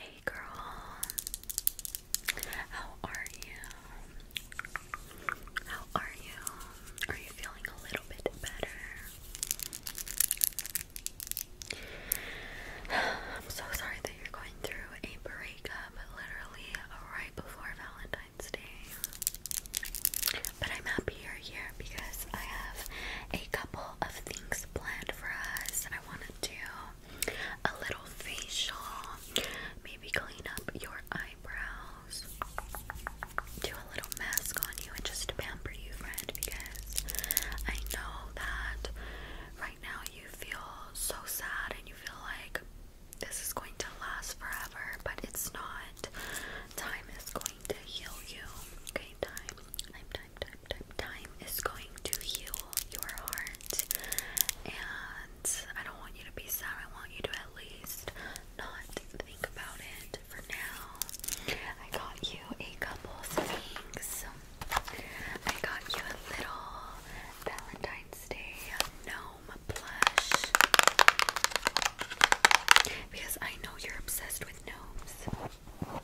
Hey girl, how are you? How are you? Are you feeling a little bit better? I'm so sorry that you're going through a breakup literally right before Valentine's Day. But I'm happy you're here because I have a couple of things planned for us. that I want to do a little facial, maybe clean up your eyebrows, do a little mask on you, and just pamper you, friend, because I know that right now you feel so sad and you feel like this is going to last forever, but it's not. Time is going to heal you. Okay, time. i time, is going to heal your heart. And I don't want you to be sad. I want you to at least not think about it for now. I got you a couple things. I got you a little Valentine's Day gnome plush. Because I know you're obsessed with gnomes.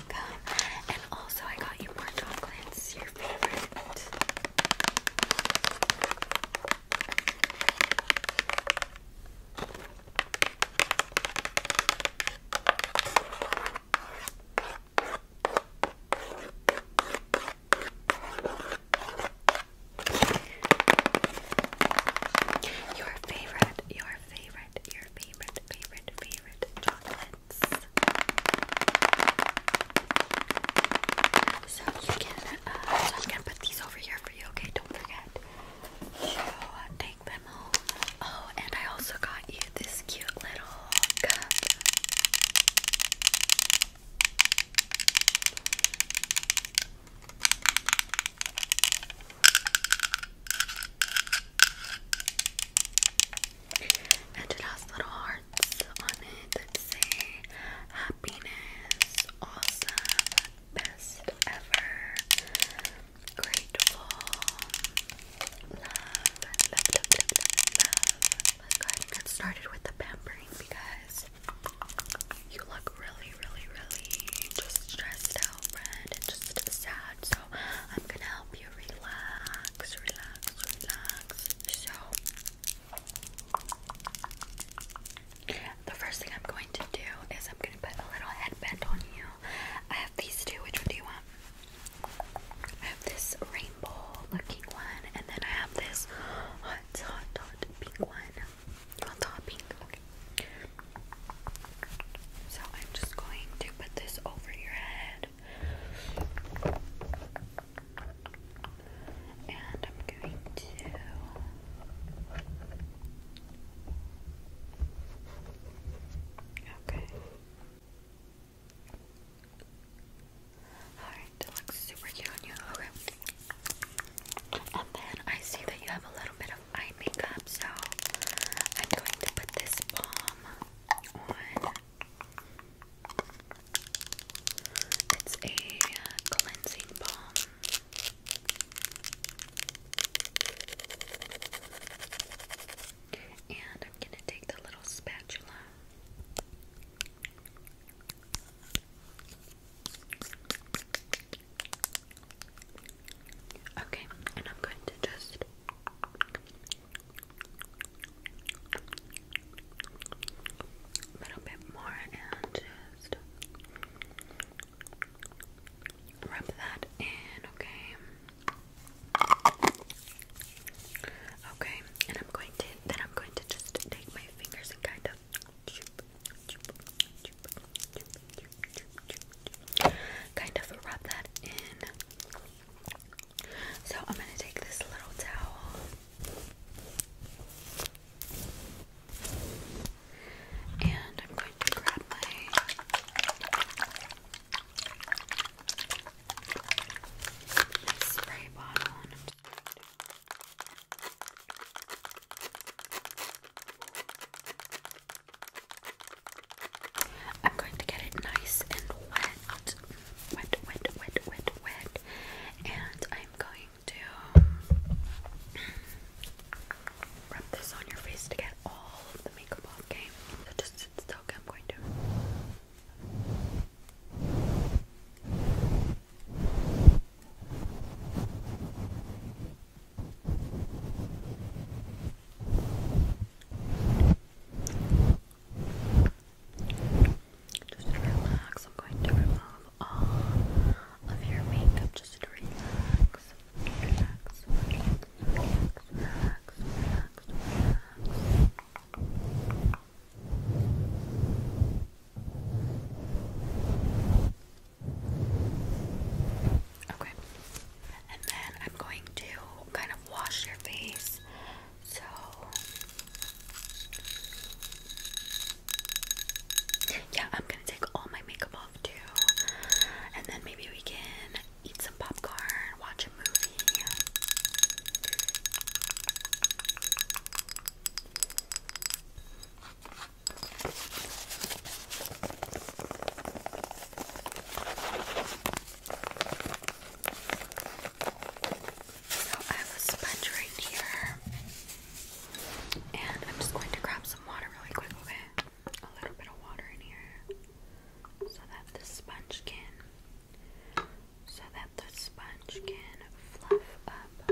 And also, I got you more chocolates, your favorite. Your favorite, your favorite, your favorite, favorite, favorite chocolate so you can, uh, so I'm put these over here for you, okay? Don't forget. So uh, take them home. Oh, and I also got you this cute little cup and it has little hearts on it that say happiness, awesome, best ever, grateful, love, Let's go ahead with the pampering because you look really, really, really just stressed out, and just sad. So I'm gonna help you relax relax, relax, relax. So, the first thing I'm going to do is I'm going to put a little headband on you. I have these two. Which one do you want? I have this rainbow looking one, and then I have this hot, hot, hot pink one. Hot, hot pink. So I'm just going to put this over your head. And I'm going to Okay. Alright, that looks super cute on you. Okay. And then I see that you have a little bit of eye makeup, so I'm going to put this balm on it's a cleansing balm. And I'm going to take the little spatula. Okay, and I'm going to just a little bit more and just rub that in, okay? Okay, and I'm going to then I'm going to just take my fingers and kind of kind of rub that in so I'm going to take this little towel and I'm going to grab my, spray bottle I'm going to get it nice and wet. Wet, wet, wet, wet, And I'm going to rub this on your face to get all of the makeup off, okay? So just sit still, I'm going to. Just relax. I'm going to remove all of your makeup. Just relax. Relax. Relax. Relax. Relax. Okay, and then I'm going to kind of wash your face so yeah, I'm gonna take all my makeup off too, and then maybe we can eat some popcorn, watch a movie. So I have a sponge right here. And I'm just going to grab some water really quick, okay? A little bit of water in here. So that the sponge can so that the sponge can fluff up.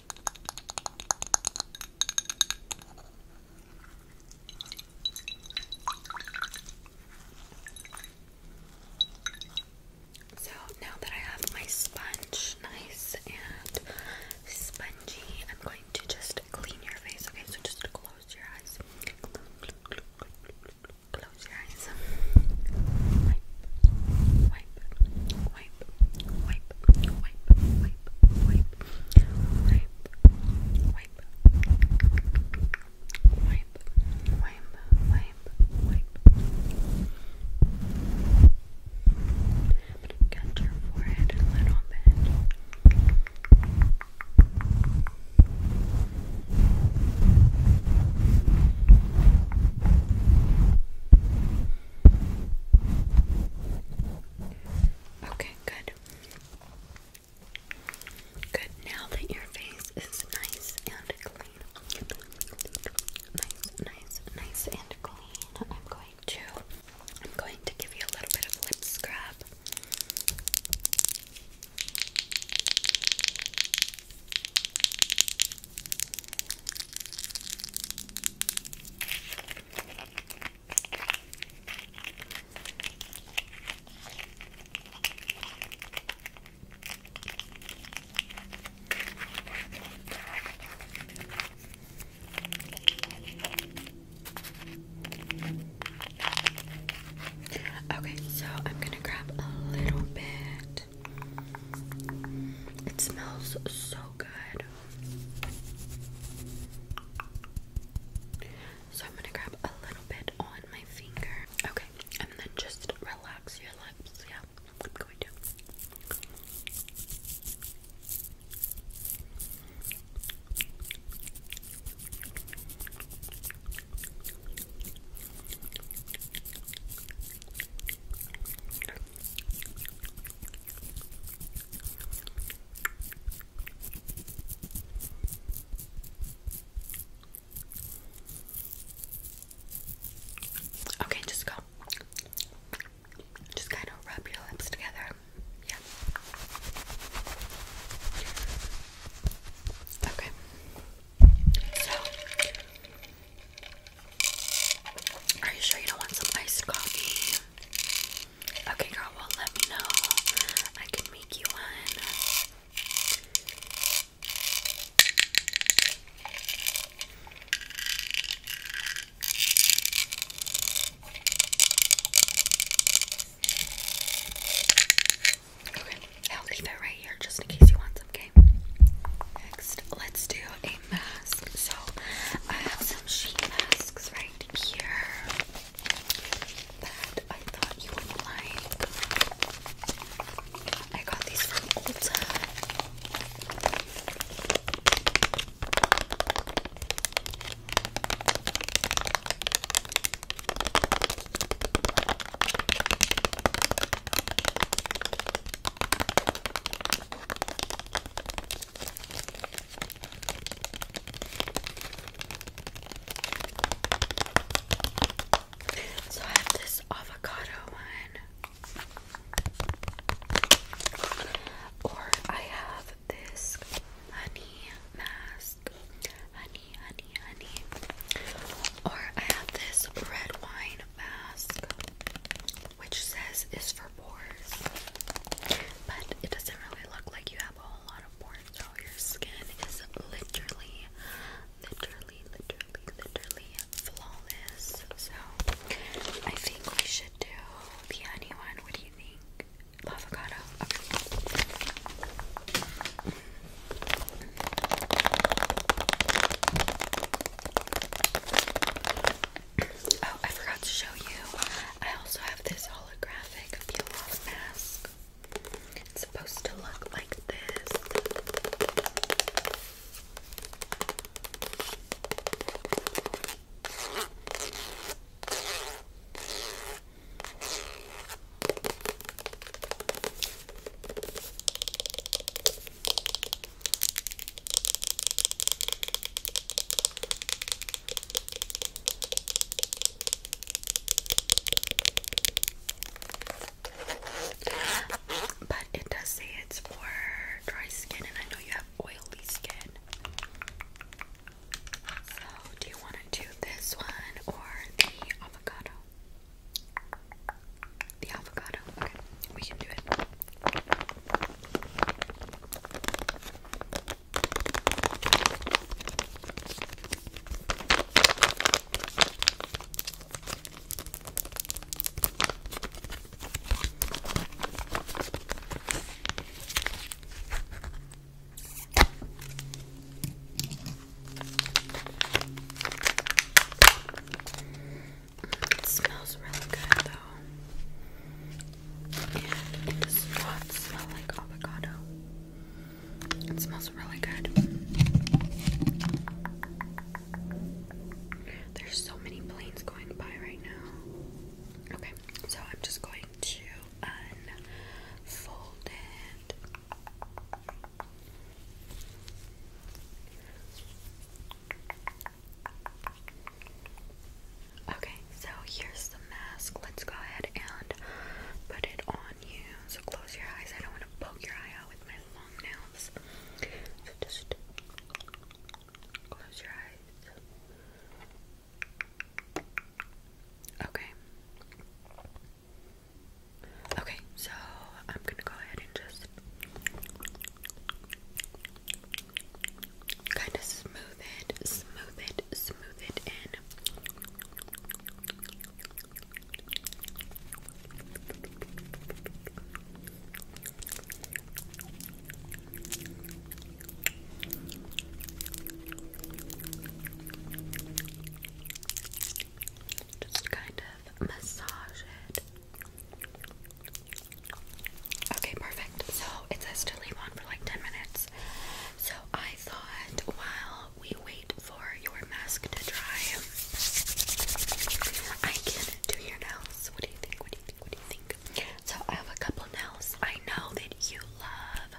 So now that I have my sponge nice and spongy, I'm going to just clean your face. Okay, so just close your eyes. Close your eyes wipe, wipe, wipe, wipe, wipe, wipe, wipe, wipe, wipe, wipe, wipe. But you get your forehead a little bit. Wipe, Okay, good. Good. Now that your face is nice and clean, nice, nice, nice and clean, I'm going to, I'm going to give you a little bit of lip scrub. Okay, so I'm gonna grab a little bit. It smells so good. So I'm going to grab a little bit on my finger. Okay. And then just relax your lips. Yeah. I'm going to. Okay, just go. Just kind of rub your lips together. Yeah. Okay. So, are you sure you don't want some iced coffee? Okay, girl, well, let me know. I can make you one. Okay, I'll leave it right here just in case you want some, okay? Next, let's do a mask. So I have some sheet masks right here that I thought you would like. I got these from Ulta. So I have this avocado one. Or I have this honey mask. Honey, honey, honey. Or I have this red wine mask which says is for pores, but it doesn't really look like you have a whole lot of pores. your skin is literally, literally, literally, literally flawless. So I think we should do the honey one. What do you think? Avocado. Oh, I forgot to show you. I also have this holographic peel off mask. It's supposed to look like this. But it does say it's for dry skin, and I know you have oily skin. So, do you want to do this one or the avocado? The avocado. Okay, we can do it. It smells really good though. And it does not smell like avocado. It smells really good. There's so many planes going by right now. Okay, so I'm just going to unfold it. Okay, so here's the mask. Let's go ahead and put it on you. So close your eyes. I don't want to poke your eye out with my long nails. So just close your eyes. Okay. Okay, so I'm gonna go ahead and just kind of smooth it, smooth it, smooth it in. Just kind of massage it. Okay, perfect. So it says to leave on for like 10 minutes. So I thought while we wait for your mask to dry, I can do your nails. What do you think? What do you think? What do you think? So I have a couple nails. I know that you love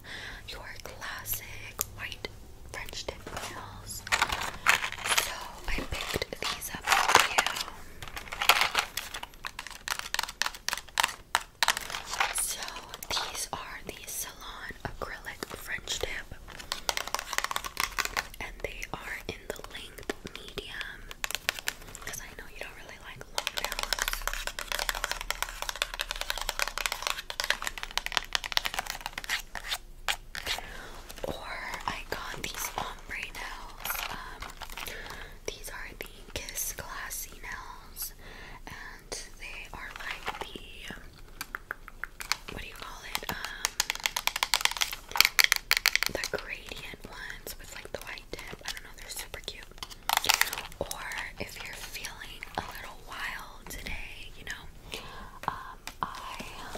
your classic white French tip nails. So I picked these up for you. So these are the Salon Acrylic French Tip, and they are in the length medium because I know you don't really like long nails. Or I got these ombre nails. Um, these are the Kiss Classy nails and they are like the what do you call it? Um, the gradient ones with like the white tip. I don't know. They're super cute. Or if you're feeling a little wild today, you know. Um, I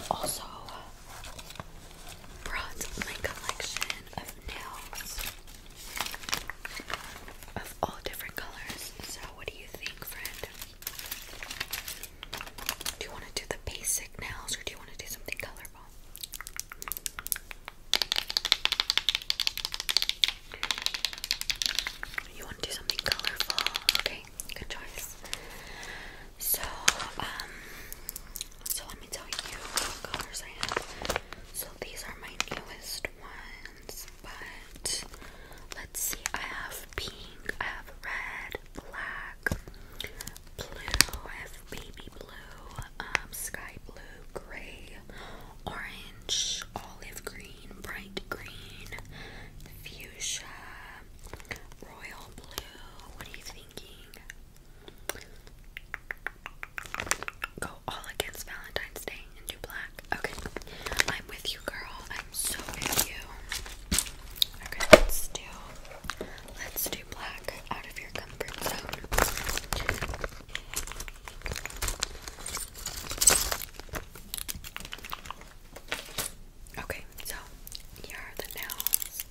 also brought my collection of nails of all different colors. So, what do you think, friend? Do you want to do the basic nails or do you want to do something colorful? You want to do something colorful? Okay, good choice. So, um, so let me tell you what colors I have. So these are my newest ones, but let's see. I have pink, I have red, black, blue, I have baby blue, um, sky blue, gray, orange, olive green, bright green, fuchsia, royal blue. What are you thinking? go all against Valentine's Day and do black. Okay, I'm with you, girl. I'm so with you. Okay, let's do let's do black out of your comfort zone. Okay, so here are the nails.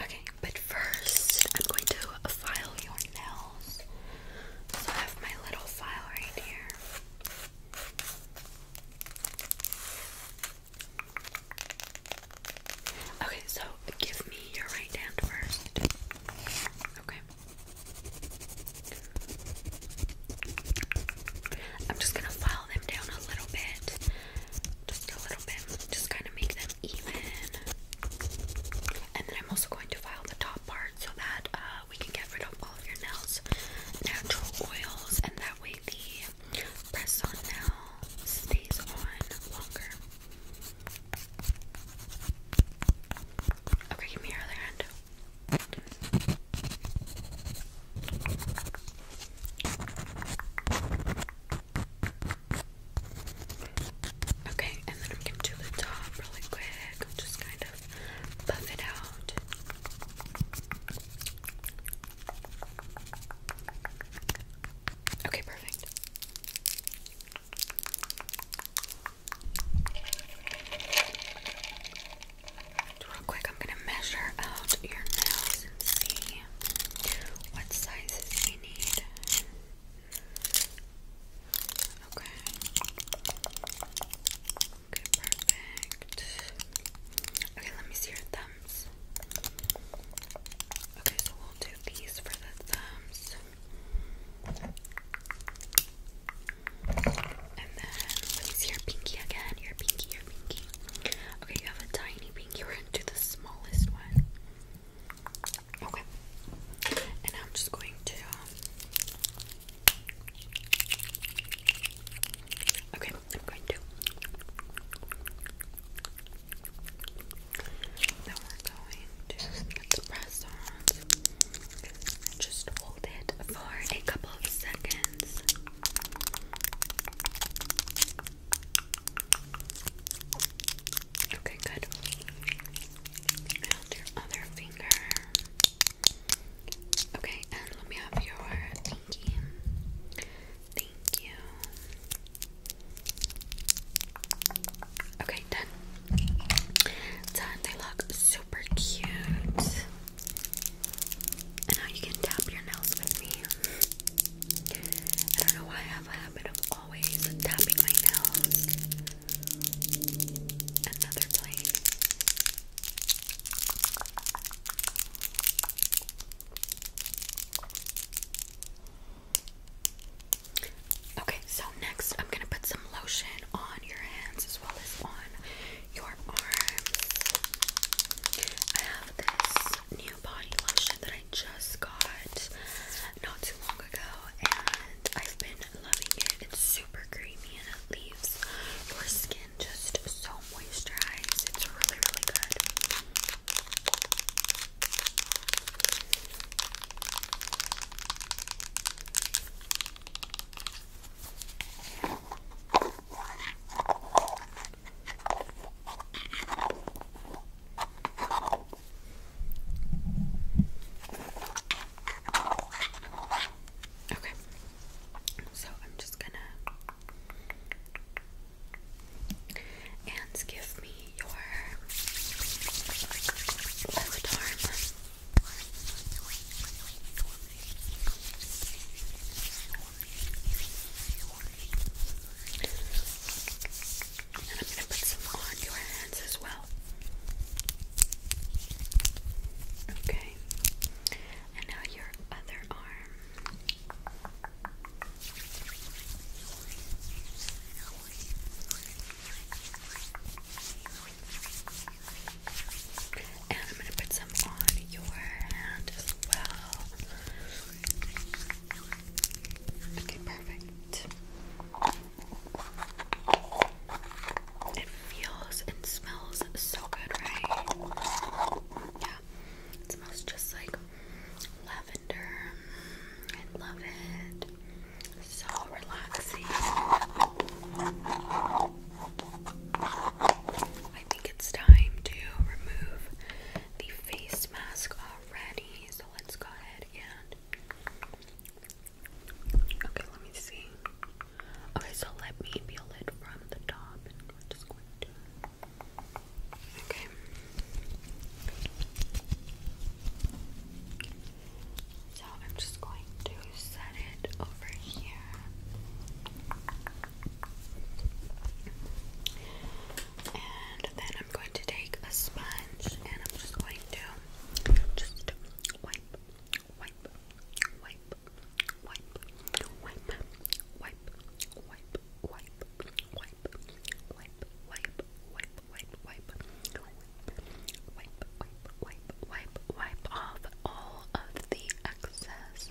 Okay, but first I'm going to file your nails. So I have my little file right here. Okay, so give me your right hand first. Okay. I'm just gonna file them down a little bit. Just a little bit. Just kind of make them even. And then I'm also going to file the top part so that uh, uh, we can get rid of all of your nails natural oils, and that way the press on nail stays on longer. Okay, give me your other hand. Okay, and then I'm gonna do the top really quick. just kind of Buff it out. Okay, perfect. Real quick, I'm gonna measure out your nose and see what sizes we need. Okay perfect. Okay, let me see your thumbs. Okay, so we'll do these for the thumbs. And then let me see your pinky again. Your pinky, your pinky. Okay, you have a tiny pinky. We're going the smallest one. Okay. And I'm just going to um, Okay, I'm going to. Now we're going to press on. Just hold it for a couple of seconds. Okay, good. Hold your other finger. Okay, and let me have your Thank you. Thank you. Okay, done. Done. They look super cute. And now you can tap your nails with me. I don't know why I have a habit of always tapping my nails. Another plane. Okay, so next I'm gonna put some lotion on your hands as well as on your arms. I have this new body lotion that I just got not too long ago, and I've been loving it. It's super creamy and it leaves your skin just so moisturized. It's really, really good. Okay. So I'm just gonna and give me your left arm. And I'm gonna put some on your hands as well. Okay. And now your other arm. And I'm going to put some on your hand as well. Okay, perfect. It feels and smells so good, right? yeah, it smells just like lavender. Mm, I love it. So relaxing. I think it's time to remove the face mask already. So let's go ahead and. Okay, let me see. Okay, so let me peel it from the top Okay. So I'm just going to set it over here. And then I'm going to take a sponge and I'm just going to just wipe, wipe, wipe, wipe, wipe, wipe, wipe, wipe, wipe, wipe, wipe, wipe, wipe, wipe, wipe, wipe, wipe, off all of the excess.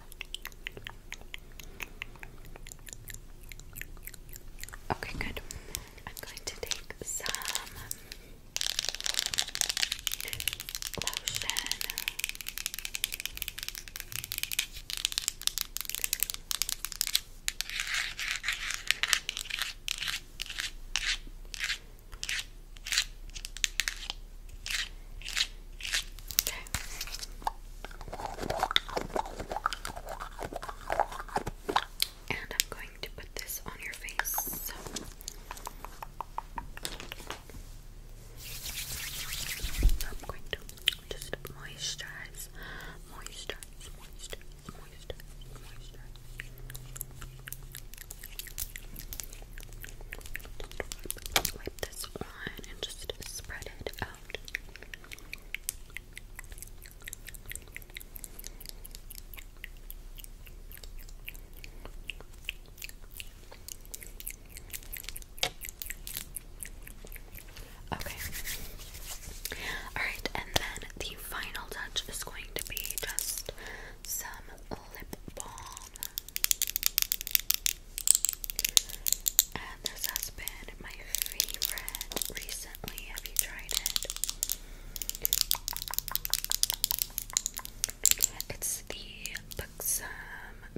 Okay, good. I'm going to take some lotion and I'm going to put this on your face. I'm going to just moisturize, moisturize, moisturize, moisturize, moisturize. Wipe this on and just spread it out. Okay. Alright, and then the final touch is going to be just some lip balm. And this has been my favorite recently. Have you tried it? It's the some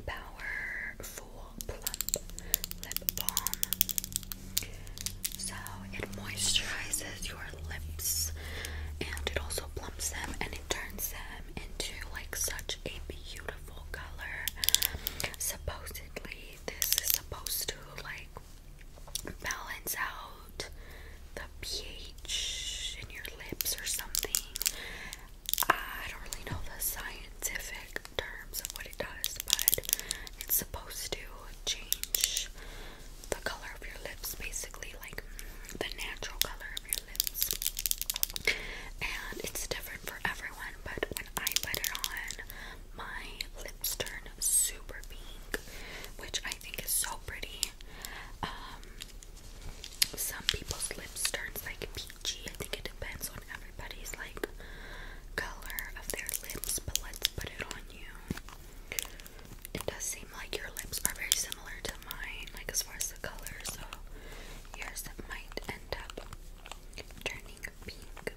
Power Plump Lip Balm. So it moisturizes your lips and it also plumps them and it turns them into like such a beautiful color. Supposedly, this is supposed to like balance out the pH in your lips or something. I don't really know the scientific terms of what it does, but it's supposed to change the color of your lips, basically, like mm, the natural color of your lips. And it's different for everyone, but when I put it on, my lips turn super pink, which I think is so pretty. Um, some people's lips turns like peachy. think it depends on everybody's like color of their lips, but let's put it on you. It does seem like your lips are very similar to mine, like as far as the color, so yours might end up turning pink.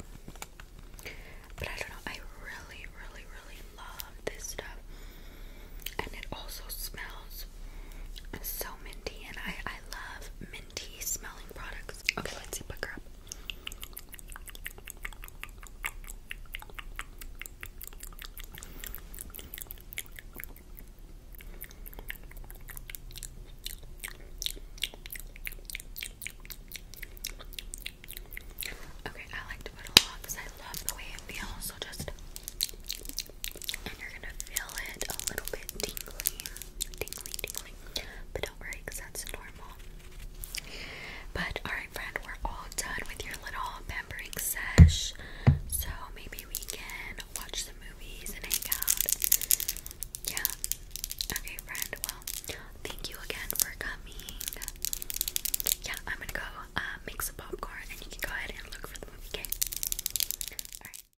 But I don't know, I really, really, really love this stuff. And it also smells so minty, and I, I love tea smelling products. Okay, let's see, pick her up. Okay, I like to put a lot because I love the way it feels, so just and you're gonna feel it a little bit tingly, tingly, tingly. But don't worry, that's normal. But alright, friend, we're all done with your little pampering sesh. So maybe we can watch some movies and hang out. Yeah. Okay, friend. Well, thank you again for coming. Yeah, I'm gonna go uh, make some popcorn, and you can go ahead and look for the movie. Okay. All right.